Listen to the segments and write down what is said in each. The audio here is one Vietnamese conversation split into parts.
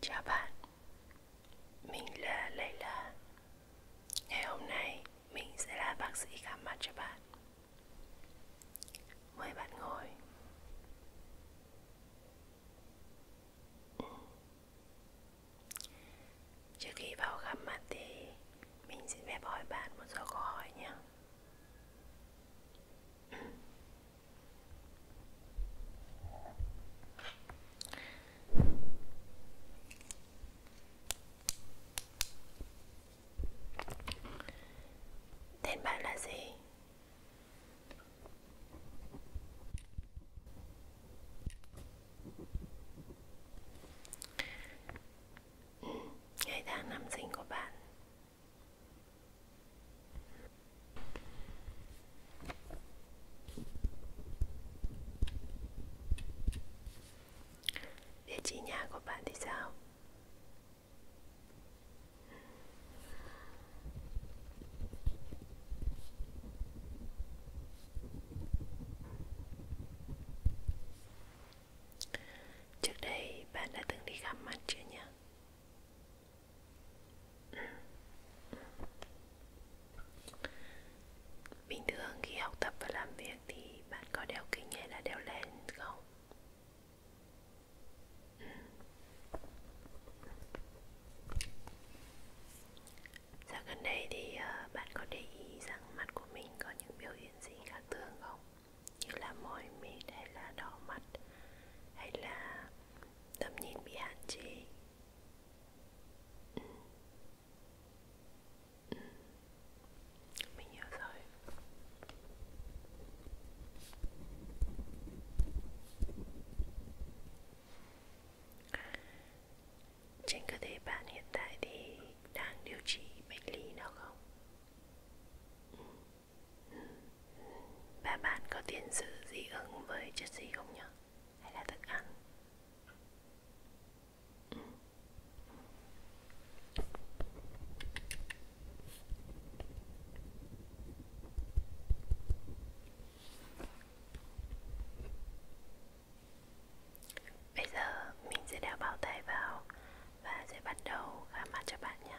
Chào bạn, mình là Layla Ngày hôm nay mình sẽ là bác sĩ khám mặt cho bạn Mời bạn ngồi ừ. Trước khi vào khám mặt thì mình xin phép hỏi bạn một số câu hỏi nhé Tên bạn là gì? Ngày tháng năm sinh của bạn Địa chỉ nhà của bạn thì sao? Trước đây bạn đã từng đi khám mắt chưa nhỉ? Bình thường khi học tập và làm việc thì bạn có đeo kính hay là đeo len không? Ừ. Dạo gần đây thì ờ, bạn có để ý rằng mặt của mình có những biểu hiện gì khác thường không? như là mỏi mệt hay là đỏ mặt hay là tầm nhìn bị hạn chế ừ. Ừ. mình hiểu rồi trên cơ thể bạn hiện tại thì đang điều trị bệnh lý nào không? Ừ. Và bạn có tiền sử dị ứng với chất gì không nhỉ? Hay là thức ăn? Ừ. Bây giờ mình sẽ đeo bao tay vào và sẽ bắt đầu khám mắt cho bạn nhé.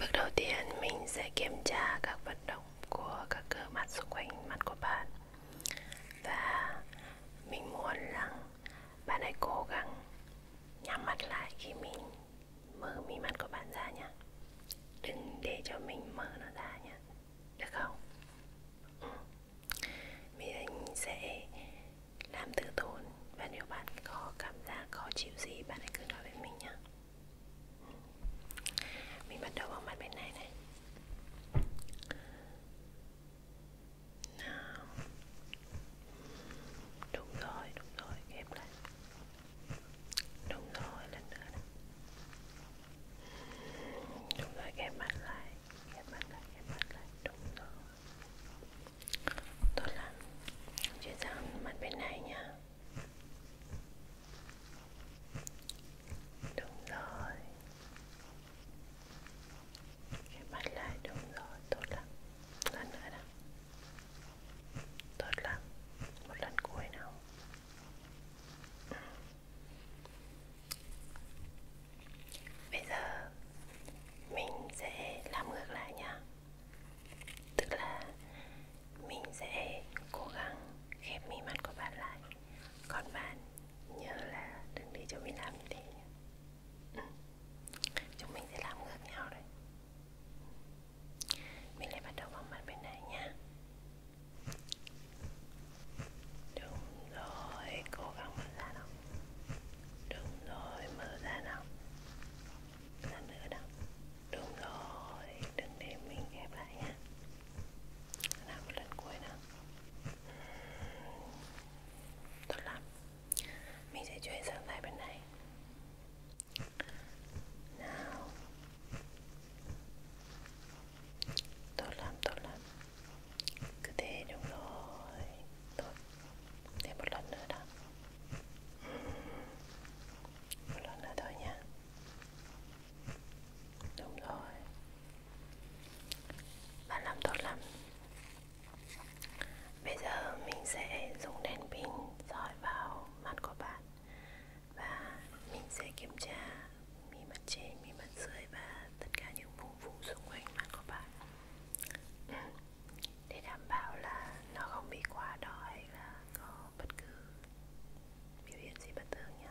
Bước đầu tiên mình sẽ kiểm tra các vận động của các cơ mặt xung quanh mặt của bạn và mình muốn rằng bạn hãy cố gắng nhắm mắt lại khi mình mở mí mắt của bạn ra nhé đừng để cho mình mở nó ra nhé được không ừ. mình sẽ làm từ tốn và nếu bạn có cảm giác khó chịu gì bạn hãy cứ nói với mình nhé ừ. mình bắt đầu bằng mặt bên này này nào đúng rồi đúng rồi ghép lại đúng rồi lần nữa đó. đúng rồi ghép mặt lại ghép mặt lại ghép mặt lại đúng rồi tốt lắm chuyển sang mặt bên này nha Đúng rồi Cái mặt lại đúng rồi, tốt lắm Lần nữa nào Tốt lắm Một lần cuối nào ừ. Bây giờ Mình sẽ làm ngược lại nha Tức là Mình sẽ cố gắng khép mi mắt của bạn lại còn bạn nhớ là đừng để cho mình làm như thế nhé ừ. chúng mình sẽ làm ngược nhau đấy mình lại bắt đầu bằng mặt bên này nhá đúng rồi cố gắng mở ra nào đúng rồi mở ra nào làm nữa nào đúng rồi đừng để mình ghép lại nhá làm một lần cuối nào tốt lắm mình sẽ chuyển sang tay bên này nào tốt lắm tốt lắm cứ thế đúng rồi tốt thêm một lần nữa đó một lần nữa thôi nha Đúng rồi Bạn làm tốt lắm Bây giờ mình sẽ dùng đèn pin dọi vào mặt của bạn Và mình sẽ kiểm tra mi mặt trên, mi mặt dưới và tất cả những vùng vùng xung quanh mặt của bạn ừ. Để đảm bảo là nó không bị quá đỏ hay là có bất cứ biểu hiện gì bất thường nhé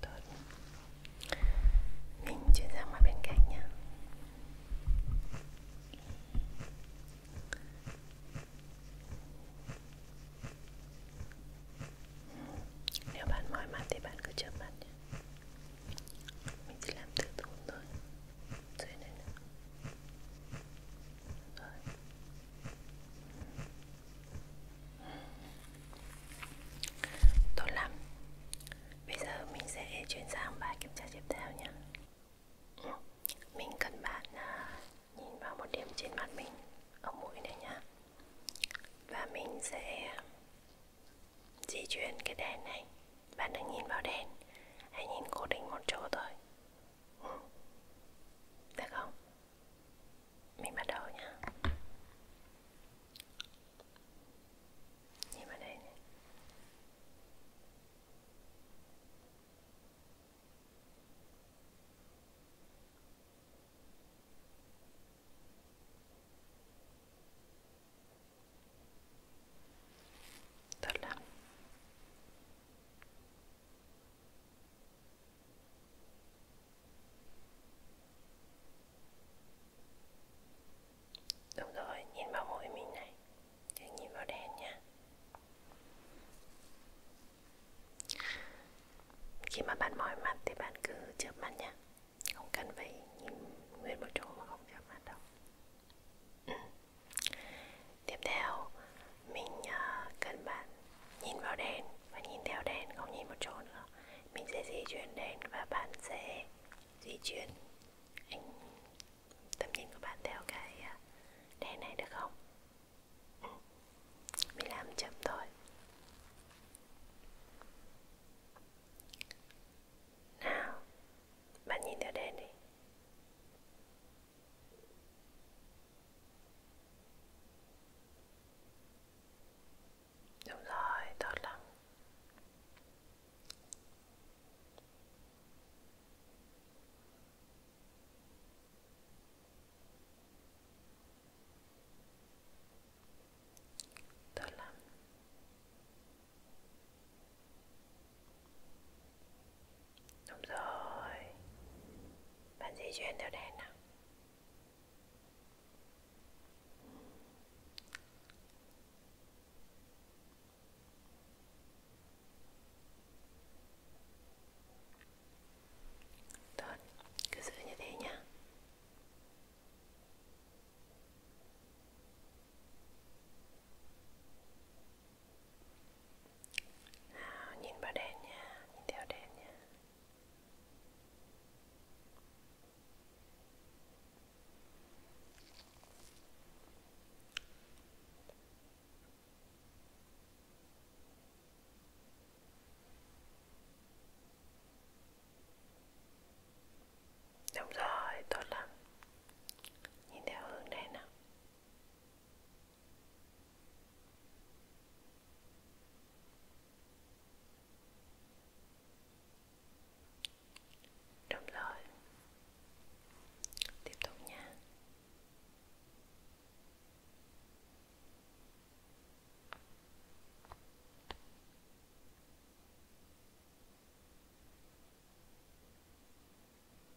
Tốt Mình chuyển sang mặt bên cạnh nhé Nếu bạn mỏi mặt thì bạn cứ chớp mắt nhé Mình chỉ làm từ tốn thôi dưới này nữa. Rồi Tốt lắm Bây giờ mình sẽ chuyển sang bài kiểm tra tiếp theo nhé ừ. Mình cần bạn à, nhìn vào một điểm trên mặt mình Ở mũi này nhá Và mình sẽ di chuyển cái đèn này Bạn đừng nhìn vào đèn Hãy nhìn cố định một chỗ thôi ừ. Được không? mình bắt đầu nhá nhìn vào đây này Tốt lắm Đúng rồi, nhìn vào mũi mình này Đừng nhìn vào đèn nha Khi mà bạn mỏi mặt thì bạn cứ chớp mắt nha Không cần phải nhìn nguyên một chỗ mà không chớp mắt đâu ừ. Tiếp theo, mình à, cần bạn nhìn vào đèn và nhìn theo đèn không nhìn một chỗ nữa mình sẽ di chuyển đèn và bạn sẽ di chuyển anh tầm nhìn của bạn theo cái à, đèn này được không ừ. mình làm chậm thôi nào bạn nhìn theo đèn đi Đúng rồi, tốt lắm. Tốt lắm. Đúng rồi Bạn di chuyển theo đèn nào Tốt, cứ giữ như thế nhá Tốt nào nhìn vào đèn nha nhìn theo đèn nha Đúng rồi, tốt lắm Nhìn theo hướng này nào Đúng rồi. Tiếp tục nha.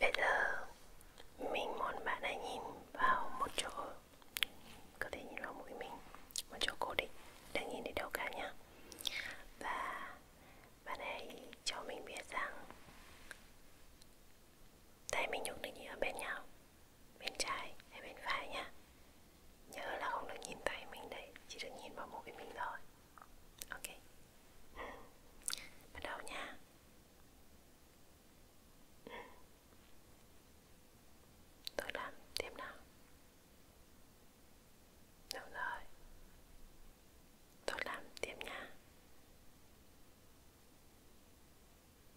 Bây giờ mình muốn bạn hãy nhìn vào một chỗ Có thể nhìn vào mũi mình Một chỗ cố định Đừng nhìn đến đâu cả nhé Và bạn hãy cho mình biết rằng Tay mình nhúc định ở bên nhau Bên trái hay bên phải nhé Nhớ là không được nhìn tay mình đấy Chỉ được nhìn vào mũi mình thôi Ok ừ. Bắt đầu nha ừ. Tôi làm tiếp nào Đúng rồi Tôi làm tiếp nha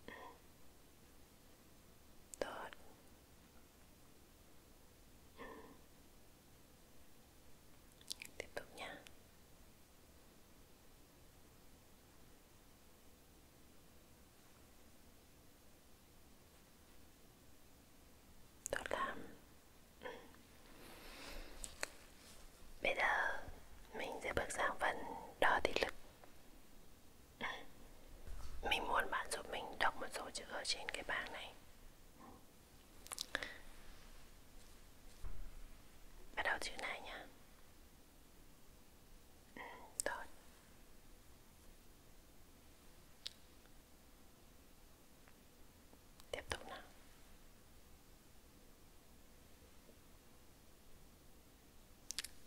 ừ. Tốt tiếp tục nha đó là bây giờ mình sẽ bước sang phần đo thị lực mình muốn bạn giúp mình đọc một số chữ ở trên cái bảng này Bắt đầu chữ này nhá ừ, Tốt Tiếp tục nào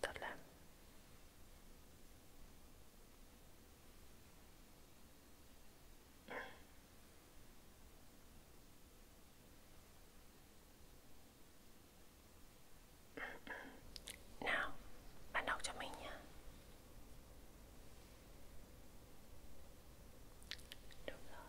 Tốt lắm nào, bạn đọc cho mình nhé. Đúng rồi.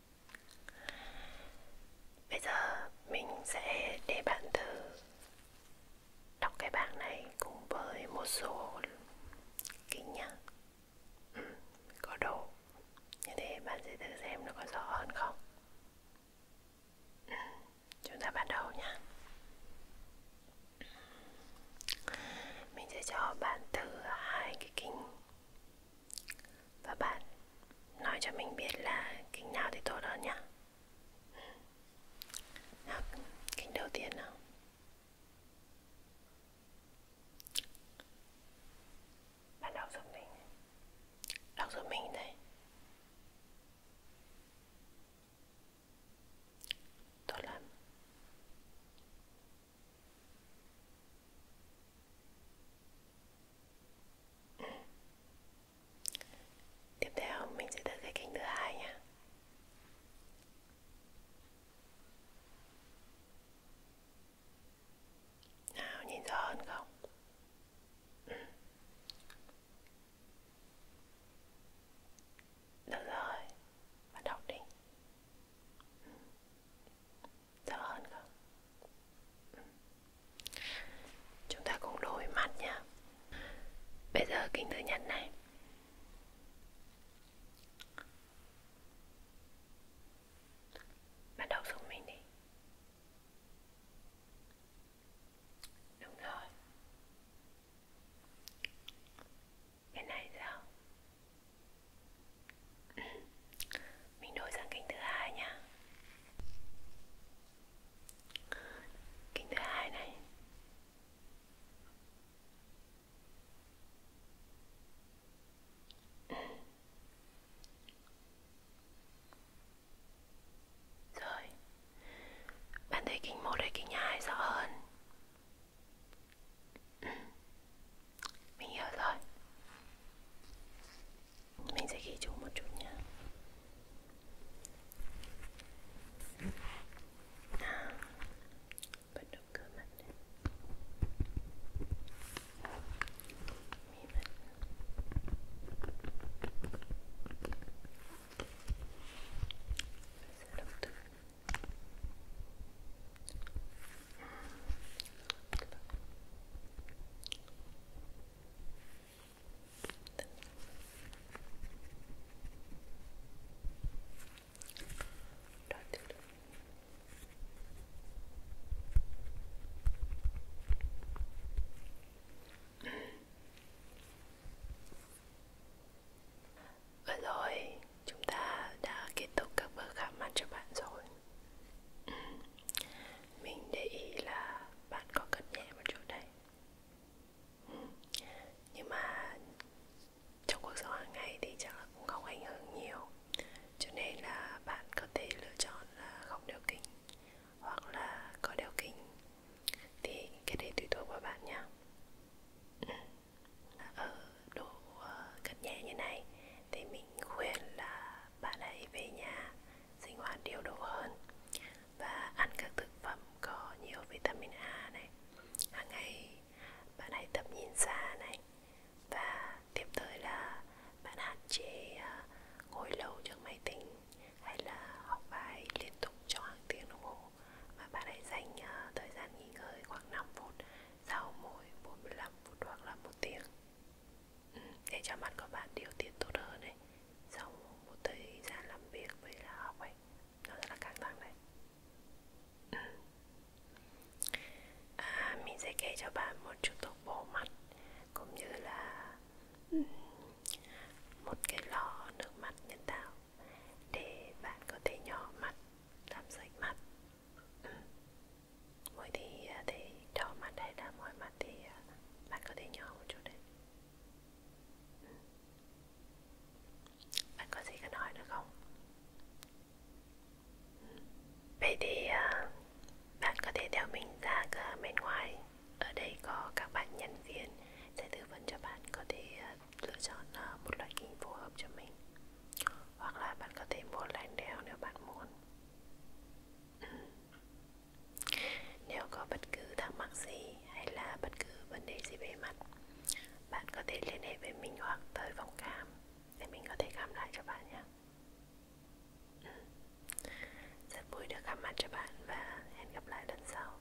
Bây giờ mình sẽ để bạn thử đọc cái bảng này cùng với một số kính nhá. Ừ, có đồ. Như thế bạn sẽ thử xem nó có rõ hơn không. Ừ, chúng ta bắt đầu nhá. Mình sẽ cho bạn thử hai cái kính và bạn nói cho mình biết là kính nào thì tốt hơn nhá Nào, kính đầu tiên nào Bạn đọc giúp mình Đọc giúp mình đây Tốt lắm Tiếp theo mình sẽ tới cái cánh thứ hai nha. Nào nhìn rõ hơn không? Ừ. Được rồi, và đọc đi. Rõ hơn không? Ừ. Chúng ta cùng đôi mắt nhé Bây giờ kính thứ nhất này Bắt đầu dùng mình đi Đúng rồi Cái này sao? Mình đổi sang kính thứ hai nha. Kính thứ hai này. Rồi. Bạn thấy kính một hay kính hai rõ hơn? Mình hiểu rồi Mình sẽ ghi chú một chút nha à, Bắt đầu cơ mặt này Mì mặt Mình sẽ đọc từ Vừa rồi chúng ta đã kết thúc các bước khám mắt cho bạn rồi mình để ý là bạn có cất nhẹ một chút đấy Nhưng mà trong cuộc sống hàng ngày thì chắc là cũng không ảnh hưởng nhiều Cho nên là bạn có thể lựa chọn là không đeo kính Hoặc là có đeo kính Thì cái đấy tùy thuộc vào bạn nha ở độ ờ, cất nhẹ như này thì mình khuyên là bạn hãy về nhà sinh hoạt điều độ hơn và ăn các thực phẩm có nhiều vitamin A này hàng ngày bạn hãy tập nhìn xa này và tiếp tới là bạn hạn chế à, ngồi lâu trước máy tính hay là học bài liên tục trong hàng tiếng đồng hồ mà bạn hãy dành à, thời gian nghỉ ngơi khoảng 5 phút sau mỗi 45 phút hoặc là một tiếng để cho mặt của bạn điều tiết tốt hơn đấy sau một thời gian làm việc với là học ấy nó rất là căng thẳng đấy à, mình sẽ kể cho bạn một chút thuốc bổ mặt cũng như là một cái lọ nước mặt nhân tạo để bạn có thể nhỏ mặt làm sạch mặt Mỗi thì à, thì đỏ mặt hay là mỏi mặt thì à, bạn có thể nhỏ một chút đấy. Bạn có gì cần hỏi nữa không? Vậy thì à, bạn có thể theo mình ra cửa bên ngoài. Ở đây có các bạn nhân viên sẽ tư vấn cho bạn có thể lựa chọn một loại kính phù hợp cho mình. Hoặc là bạn có thể mua lạnh đeo nếu bạn muốn. Nếu có bất cứ thắc mắc gì hay là bất cứ vấn đề gì về mặt, bạn có thể liên hệ với mình hoặc tới phòng khám để mình có thể khám lại cho bạn nhé. Ừ. Rất vui được gặp mặt cho bạn và hẹn gặp lại lần sau.